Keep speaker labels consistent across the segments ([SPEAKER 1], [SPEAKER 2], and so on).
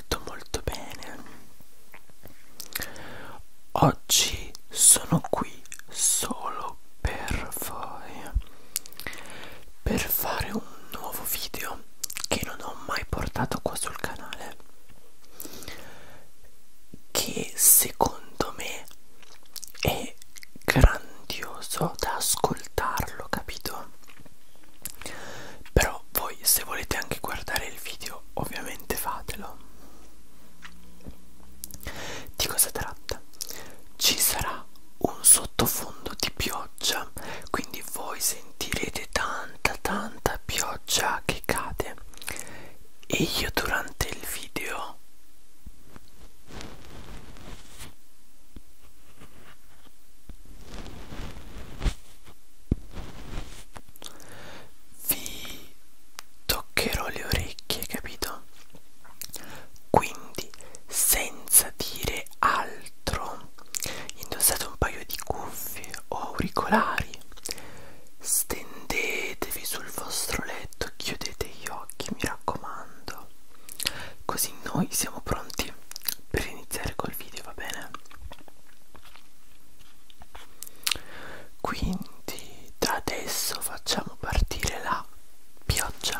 [SPEAKER 1] molto molto bene oggi sono qui solo per voi per fare un nuovo video che non ho mai portato qua sul canale che secondo me è grandioso da ascoltarlo capito però voi se volete anche guardare il video ovviamente fatelo di cosa tratta ci sarà un sottofondo di pioggia quindi voi sentirete tanta tanta pioggia che cade e io durante il video vi toccherò le orecchie capito quindi senza dire altro indossate un paio di cuffie o auricolari stendetevi sul vostro letto chiudete gli occhi mi raccomando così noi siamo pronti per iniziare col video va bene quindi da adesso facciamo partire la pioggia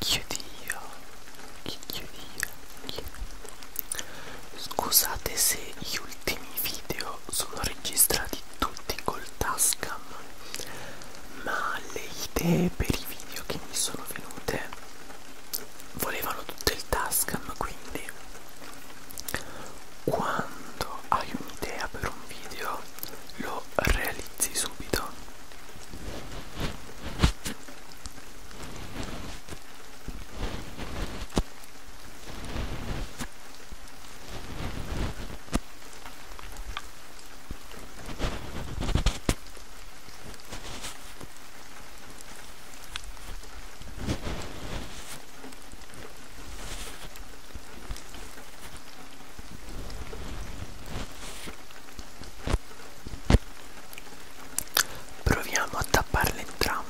[SPEAKER 1] Chiudi io. Chi chiudi io? Chi? Scusate se gli ultimi video sono registrati tutti col Tascam, ma le idee per i video che mi sono venute volevano tutto il Tascam, quindi quando hai un'idea per un video lo realizzi subito Proviamo a tapparle entrambe.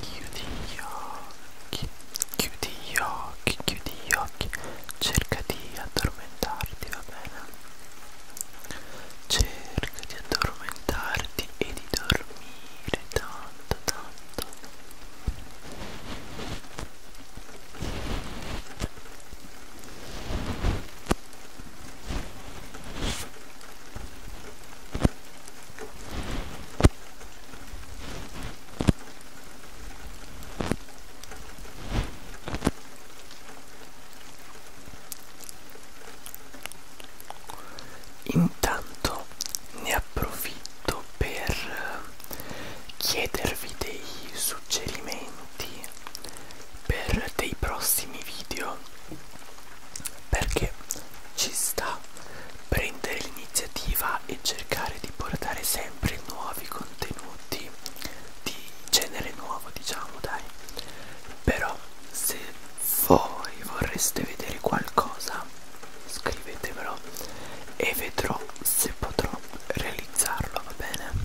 [SPEAKER 1] Chiudi gli occhi, chiudi gli occhi, chiudi gli occhi, cerca di addormentarti, va bene? Cerca di addormentarti e di dormire tanto, tanto. Intanto ne approfitto per chiedervi dei suggerimenti avanti per dei prossimi video perché ci sta prendere l'iniziativa e cercare di portare sempre nuovi contenuti di genere nuovo diciamo dai però se voi vorreste vedere qualcosa scrivetemelo e vedrò se potrò realizzarlo va bene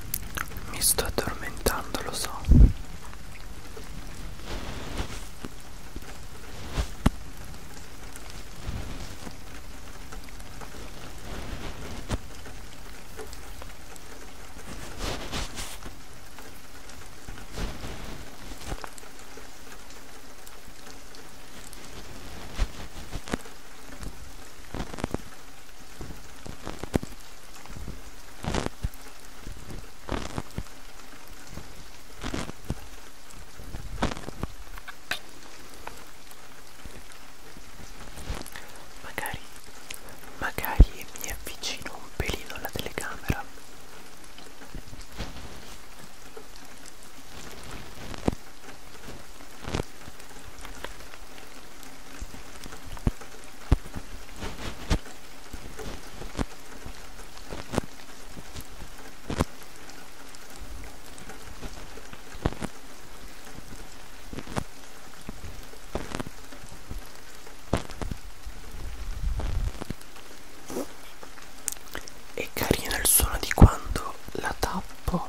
[SPEAKER 1] Mi sto addormentando, lo so. Magari, magari mi avvicino un pelino alla telecamera. È carino il suono di quando la tappo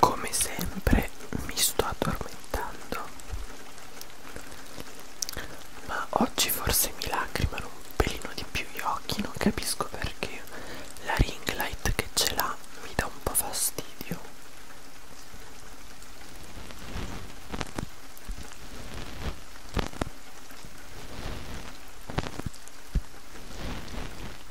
[SPEAKER 1] Come sempre mi sto addormentando, ma oggi forse mi lacrimano un pelino di più gli occhi, non capisco perché la ring light che ce l'ha mi dà un po' fastidio.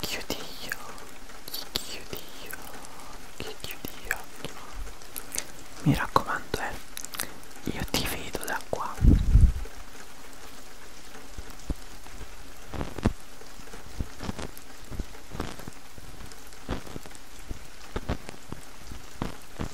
[SPEAKER 1] chiudi gli occhi chiudi gli occhi chiudi gli occhi mi raccomando eh io ti vedo da qua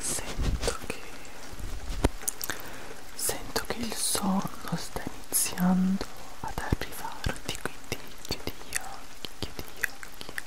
[SPEAKER 1] sento che sento che il sonno sta iniziando ad arrivarti quindi chiudi gli occhi chiudi gli occhi Chiudi gli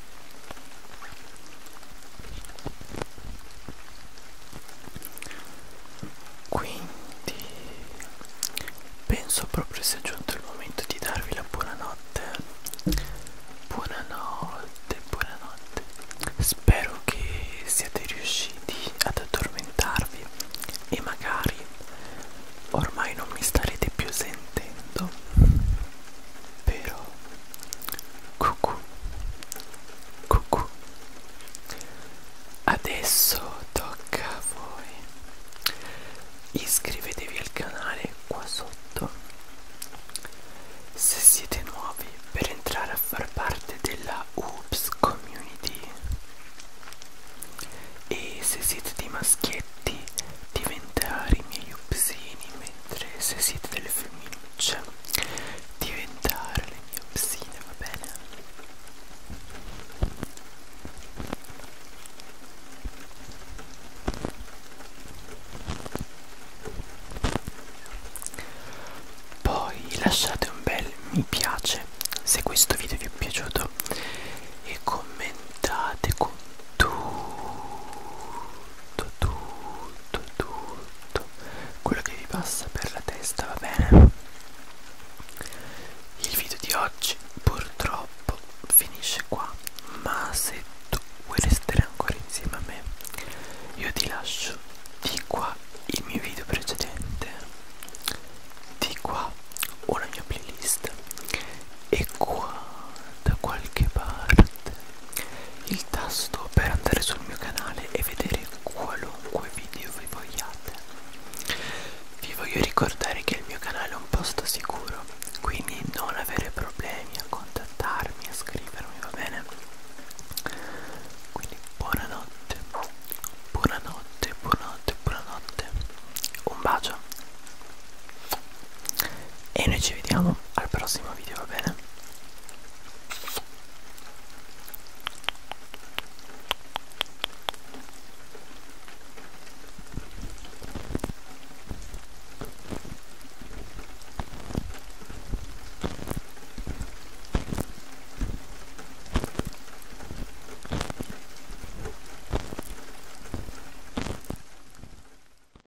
[SPEAKER 1] Quindi penso proprio sia giunto il momento di darvi la buonanotte. Buonanotte, buonanotte. Spero che siate riusciti ad addormentarvi e magari ormai non mi starete più sentendo. Però Cucù. Cucù. Adesso tocca a voi. Iscrivetevi al canale qua sotto. Se siete nuovi per entrare a far parte della Oops Community. E se siete dei maschietti diventare i miei upsini, mentre se siete delle femmine faccia diventare le mie ossine, va bene? Poi lasciate un bel mi piace se questo video vi è piaciuto e commentate con tutti tutto, tutto, tutto quello che vi passa per la testa, va bene? Il video di oggi purtroppo finisce qua, ma se tu vuoi restare ancora insieme a me, io ti lascio di qua il mio video precedente, di qua una mia playlist e qua da qualche parte il tasto per andare sul mio canale e vedere qualunque video vi vogliate. Vi voglio ricordare che il mio canale è un posto sicuro, quindi non avere problemi a contattarmi, a scrivermi, va bene? Quindi buonanotte, buonanotte, buonanotte, buonanotte. Un bacio e noi ci vediamo al prossimo video va bene